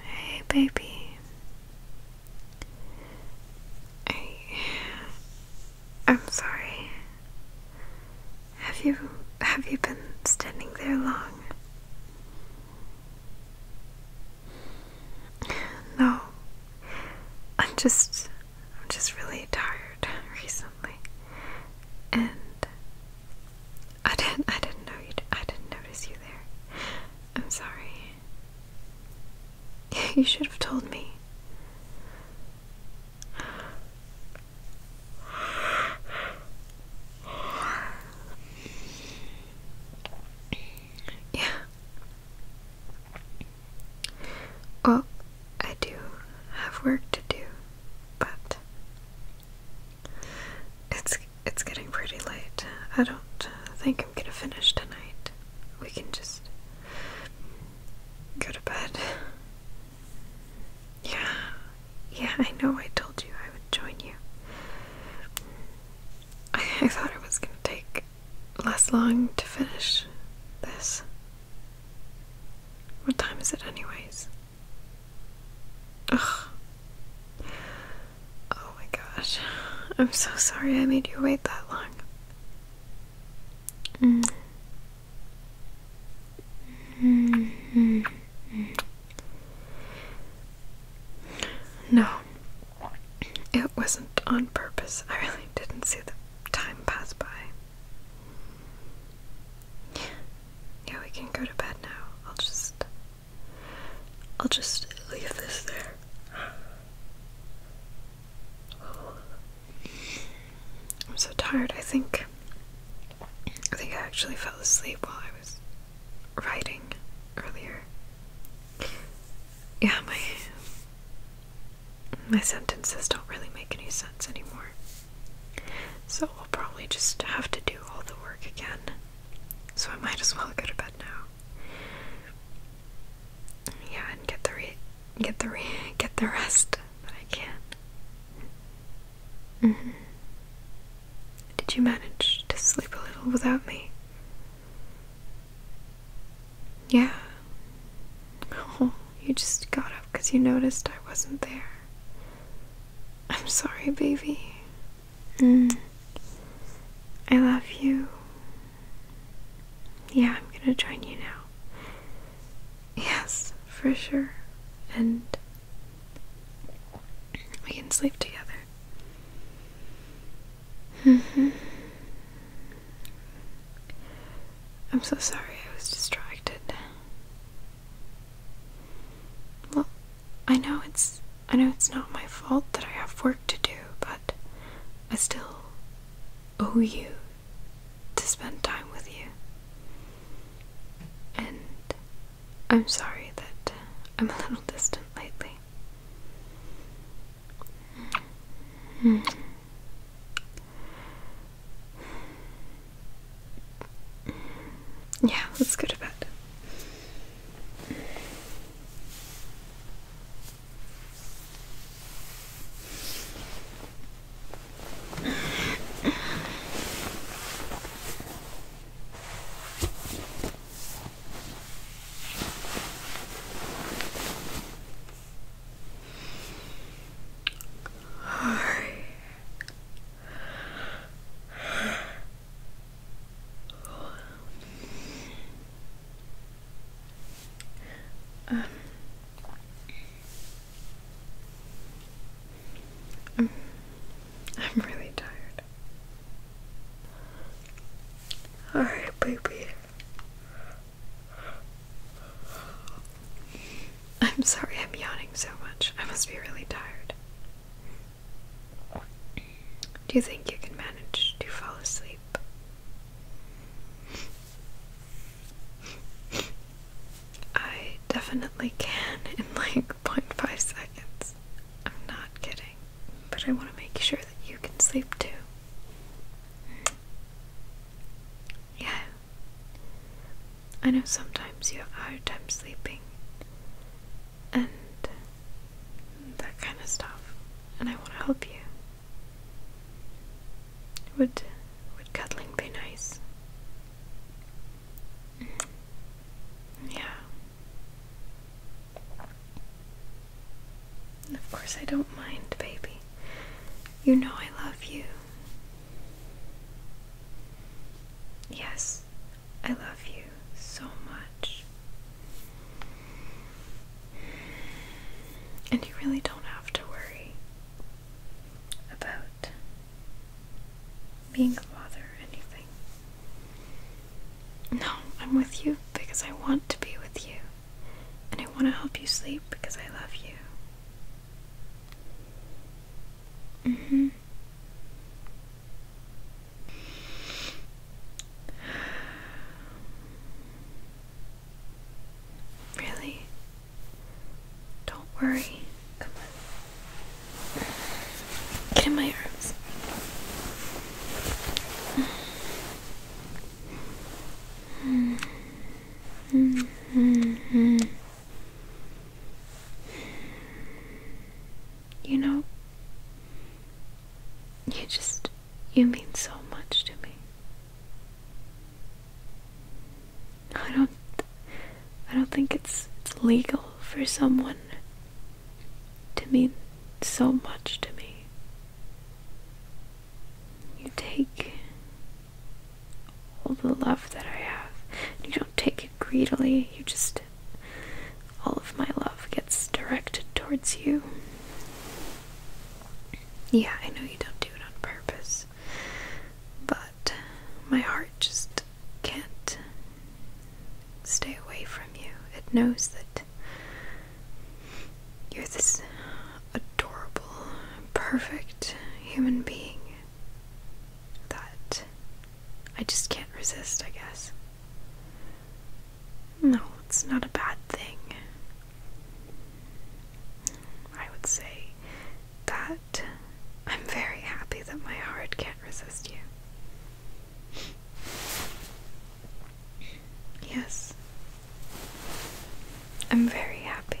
Hey, baby. I, am sorry. Have you have you been standing there long? No. I'm just I'm just really tired recently. And I didn't. I didn't know you. I didn't notice you there. I'm sorry. You should have told me. Yeah. Well, I do have work to do, but it's it's getting pretty late. I don't think I'm gonna finish tonight. We can just go to bed. Yeah, yeah, I know I told you I would join you. I, I thought it was gonna take less long to finish this. What time is it, anyways? Ugh. Oh my gosh. I'm so sorry I made you wait that long. Mm. Mm -hmm. No, it wasn't on purpose. I really didn't see the time pass by. Yeah, we can go to bed now. I'll just I'll just leave this there. I'm so tired. I think I think I actually fell asleep while I was writing earlier. Yeah, my my sentences don't really make any sense anymore. So I'll probably just have to do all the work again. So I might as well go to bed now. Yeah, and get the re get the re get the rest But I can. not mm-hmm. Did you manage to sleep a little without me? Yeah. Oh, you just got up because you noticed I wasn't there. I'm sorry, baby. Mm. I love you. Yeah, I'm gonna join you now. Yes, for sure. And we can sleep together. Mm-hmm. I'm so sorry I was distracted. Well, I know it's I know it's not my fault that I have work to do, but I still owe you to spend time with you. And I'm sorry that I'm a little distant lately. Hmm. Yeah, let's go to bed. Um. I'm really tired. Alright, baby. I'm sorry I'm yawning so much. I must be really tired. Do you think you can manage to fall asleep? I definitely can in like 0.5 seconds. I'm not kidding. But I want to make sure that you can sleep too. Yeah, I know sometimes you have a hard time sleeping and that kind of stuff, and I want to help you. Would would cuddling be nice? Mm-hmm. Yeah. Of course, I don't mind, baby. You know I love you. Yes, I love you so much. And you really don't have to worry about being a father or anything. No, I'm with you because I want to be with you. And I want to help you sleep because I love you. Mm-hmm. Really? Don't worry. Come on. Get in my arms. Mm -hmm. -hmm. You know, you just, you mean so much to me. I don't, I don't think it's, it's legal for someone to mean so much to me. You take all the love that I have. You don't take it greedily, you just. All of my love gets directed towards you. Yeah, I know you don't do it on purpose, but my heart just can't stay away from you. It knows that you're this adorable, perfect human being, that I just can't resist, I guess. No, it's not a bad thing. I would say that I'm very happy that my heart can't resist you. Yes, I'm very happy.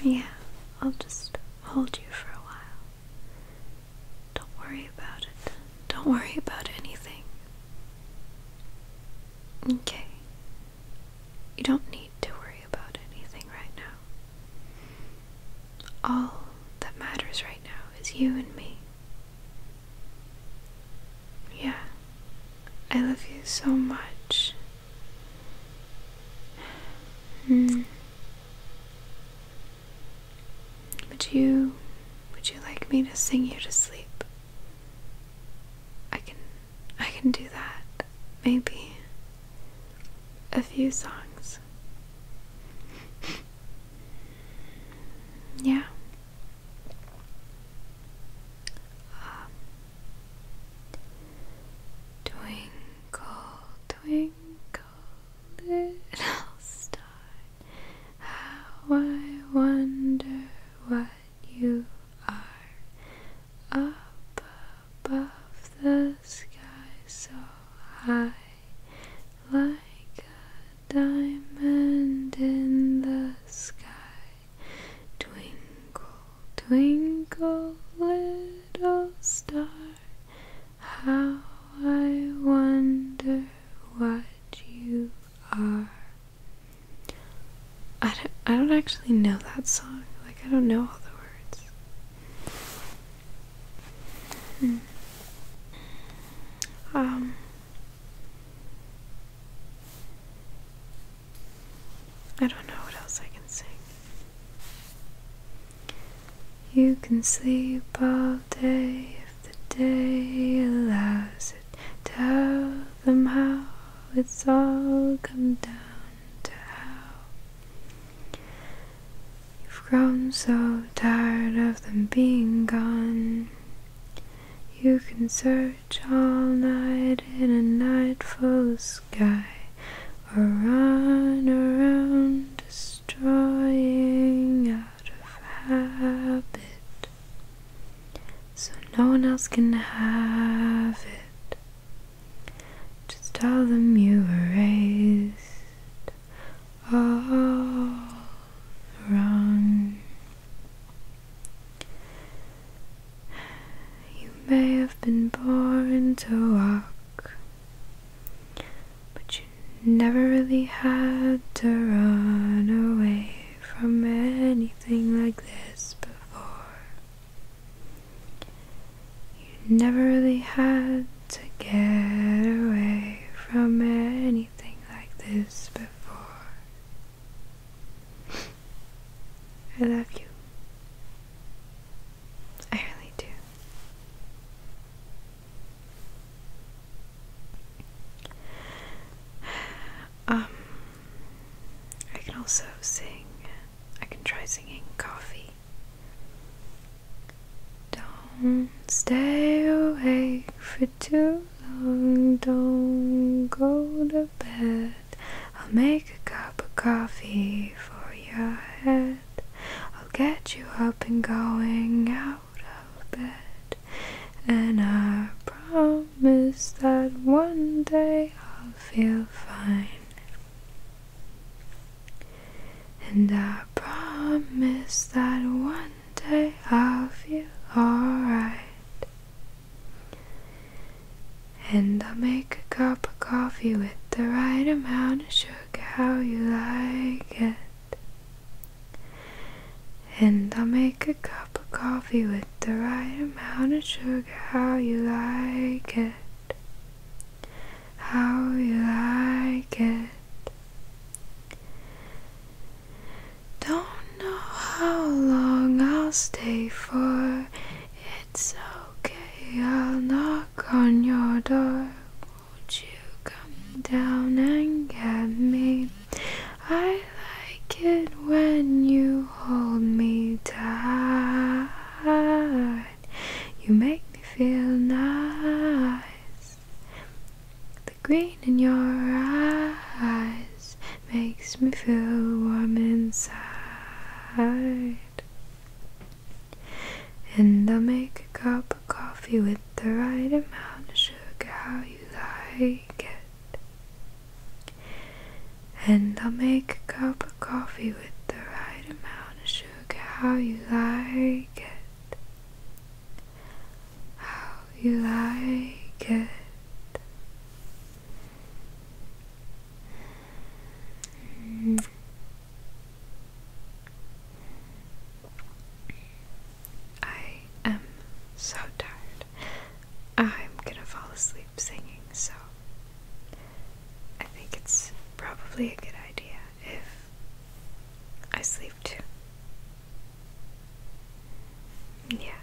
Yeah, I'll just hold you for a while. Don't worry about it. Don't worry about anything. Okay, you don't need to worry about anything right now. All that matters right now is you and me. Yeah, I love you so much. Hmm. Would you would you like me to sing you to sleep? I can I can do that, maybe. A few songs. yeah. Um, twinkle, twinkle, little star, how I wonder what you are up above the sky so high, like a diamond in the sky. Twinkle, twinkle, little star, how I wonder what you are. I don't, I don't actually know that song. Like, I don't know all the words. Hmm. Um. I don't know what else I can sing. You can sleep all day if the day allows it. Tell them how it's all come down to how you've grown so tired of them being gone. You can search all night in a night full of sky, or run around destroying out of habit. So no one else can have it. Just tell them you were raised all wrong. You may have been born to walk, but you never really had to run away from anything like this or you never really had to get away from anything like this before. I love you. I really do. Um I can also sing, I can try singing coffee. Don't stay awake for too long, don't go to bed. I'll make a cup of coffee for your head. I'll get you up and going out of bed, and I promise promise that one day I'll feel fine. And I promise that one day I'll feel alright. And I'll make a cup of coffee with the right amount of sugar, how you like it. And I'll make a cup of coffee with the right amount of sugar, how you like it. How you like it. Don't know how long I'll stay for. It's okay, I'll knock on your door. Won't you come down and get me? I like it when you hold me tight. You make me feel nice. The green in your eyes makes me feel warm inside. And I'll make a cup of coffee with the right amount of sugar how you like it. And I'll make a cup of coffee with the right amount of sugar, how you like it. How you like it. Mm. I am so tired. I'm gonna fall asleep singing, so I think it's probably a good idea if I sleep too. Yeah.